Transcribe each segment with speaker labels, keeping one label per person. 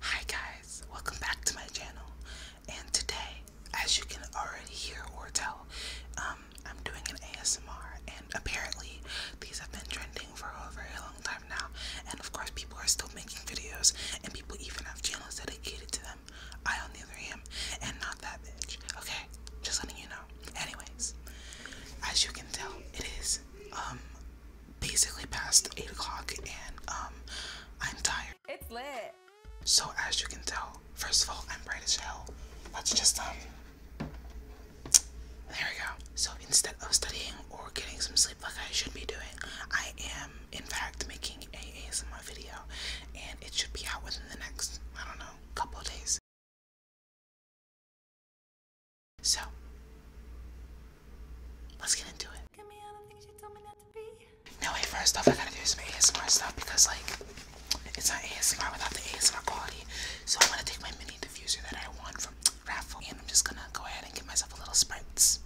Speaker 1: Hi guys, welcome back to my channel. And today, as you can already hear or tell, um, I'm doing an ASMR, and apparently these have been trending for a very long time now. And of course, people are still making videos, and people even have channels dedicated to them. I, on the other hand, am not that bitch. Okay, just letting you know. Anyways, as you can tell, it is um basically past 8 o'clock and um, I'm tired. It's lit. So as you can tell, first of all, I'm bright as hell. That's just, um, there we go. So instead of studying or getting some sleep like I should be doing, I am, in fact, making a ASMR video. And it should be out within the next, I don't know, couple days. So, let's get into it. Get me out of things No, wait, first off, I gotta do some ASMR stuff because, like, it's not ASMR without the ASMR quality. So, I'm gonna take my mini diffuser that I won from Raffle and I'm just gonna go ahead and give myself a little spritz.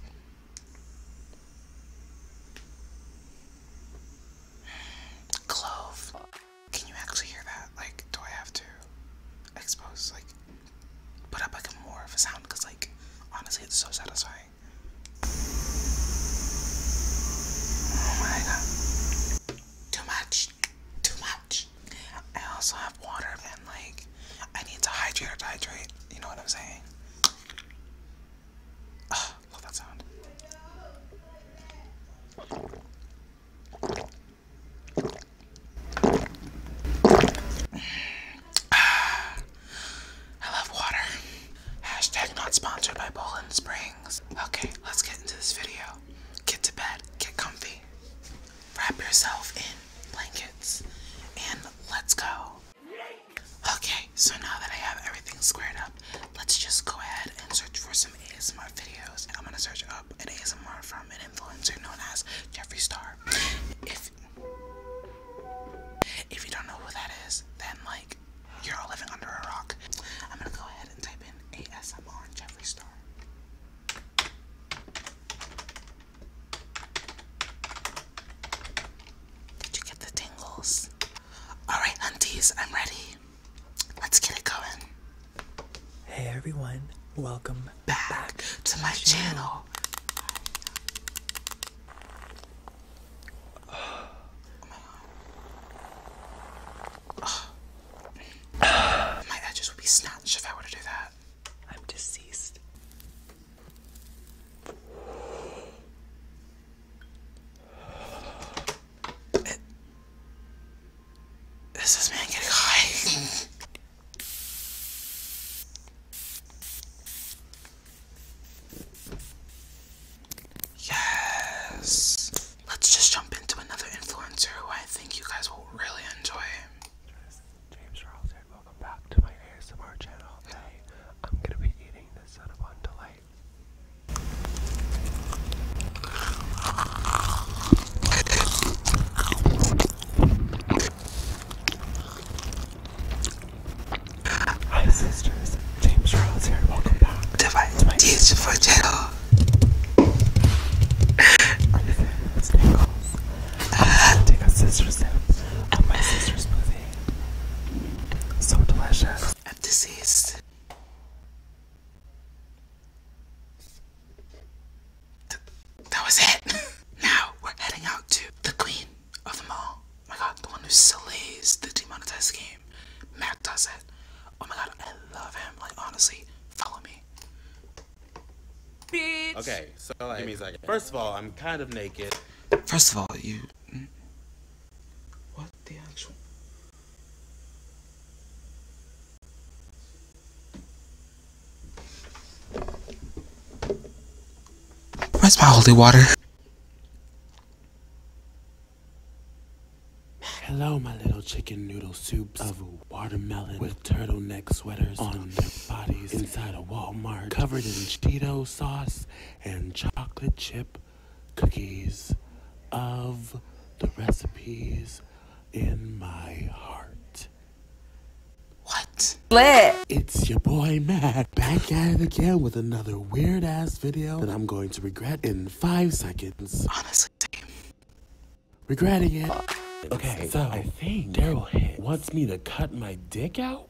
Speaker 1: Clove. Can you actually hear that? Like, do I have to expose, like, put up like more of a sound because like honestly it's so satisfying. Oh my god. Too much. Too much. I also have water and like I need to hydrate hydrate. You know what I'm saying? love that sound. I love water. Hashtag Okay, let's get into this video. Get to bed, get comfy, wrap yourself in blankets, and let's go. Okay, so now that I have everything squared up, let's just go ahead and search for some ASMR videos. I'm gonna search an ASMR from an influencer known as Jeffree Star. If if you don't know who that is, then like you're all living under a rock. I'm gonna go ahead and type in ASMR Jeffree Star. Did you get the tingles? Alright, hunties, I'm ready. Let's get it going. Hey everyone, welcome back, to my channel. my edges would be snatched if I were to do that. I'm deceased. Is this man getting high? yes. Let's just jump into another influencer who I think you guys will really enjoy. James Ralston, welcome back to my ASMR channel. Today, I'm gonna be eating the Cinnabon Delight. Hi sisters, James Rose here. Welcome back. Device to my teach for channel. Are you feeling those tingles? I'm gonna take a sister sip of my sister's smoothie. So delicious. And this is that was it. now we're heading out to the queen of them all. Oh my god, the one who slays the demonetized game. Matt does it. Oh my god, I love him. Like honestly, follow me.
Speaker 2: Bitch. Okay, so like, me a First of all, I'm kind of naked. First
Speaker 1: of all, you. Mm, what the actual? Where's my holy water?
Speaker 2: Hello, my little chicken noodle soups of watermelon with turtleneck sweaters on their bodies inside a Walmart covered in chito sauce and chocolate chip cookies of the recipes in my heart. What? Lit. It's your boy Matt back at it again with another weird ass video that I'm going to regret in five seconds. Honestly, same. Regretting it. Okay, so I think Daryl wants me to cut my dick out?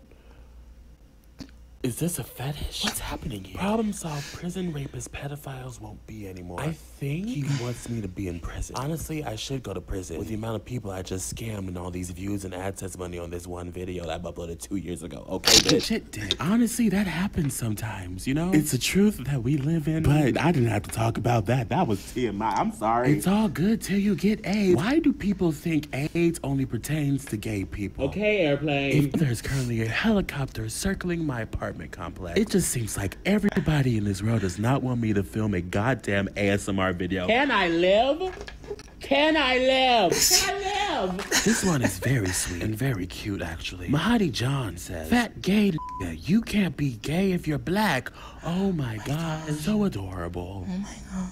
Speaker 2: Is this a fetish? What's happening here? Problem solved. Prison rapists, pedophiles won't be anymore he wants me to be in prison. Honestly, I should go to prison with the amount of people I just scammed and all these views and ad AdSense money on this one video that i uploaded two years ago. Okay, Shit did. Honestly, that happens sometimes. You know, it's a truth that we live in. But I didn't have to talk about that. That was TMI. I'm sorry. It's all good till you get AIDS. Why do people think AIDS only pertains to gay people? Okay, airplane. If there's currently a helicopter circling my apartment complex, it just seems like everybody in this world does not want me to film a goddamn ASMR video. Can I live? Can I live? Can I live? this one is very sweet and very cute, actually. Mahadi John says, Fat gay you can't be gay if you're black. Oh my, god. so adorable.
Speaker 1: Oh my god.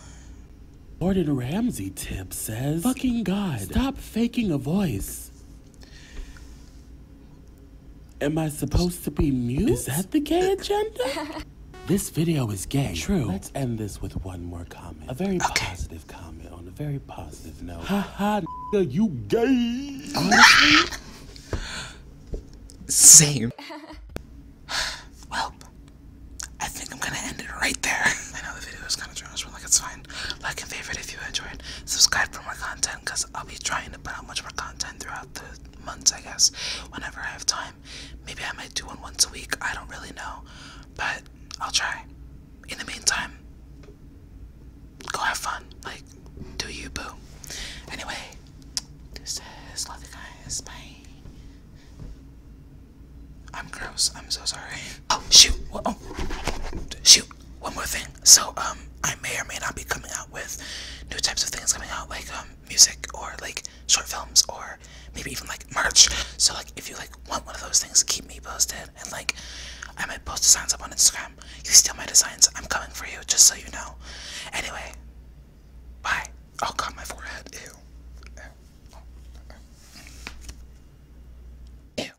Speaker 2: Gordon Ramsay tip says, Fucking god, stop faking a voice. Am I supposed to be mute? Is that the gay agenda? this video is gay. True. Let's end this with one more comment. A very positive comment on a very positive note. Haha, ha, you gay. Same. well, I think I'm gonna end it right
Speaker 1: there. I know the video is kind of trash, but like it's fine. Like and favorite if you enjoyed. Subscribe for more content because I'll be trying to put out much more content throughout the months, I guess, whenever I have time. Maybe I might do one once a week. I don't really know. But I'll try. In the meantime, go have fun. Like, do you, boo. Anyway, this is Love You Guys. Bye. I'm gross. I'm so sorry. Oh, shoot. Oh, shoot one more thing. So um, I may or may not be coming out with new types of things coming out, like um, music or like short films or maybe even like merch. So like, if you like want one of those things, keep me posted. And like, I might post designs up on Instagram. You steal my designs, I'm coming for you. Just so you know. Anyway, bye. Oh God, my forehead. Ew.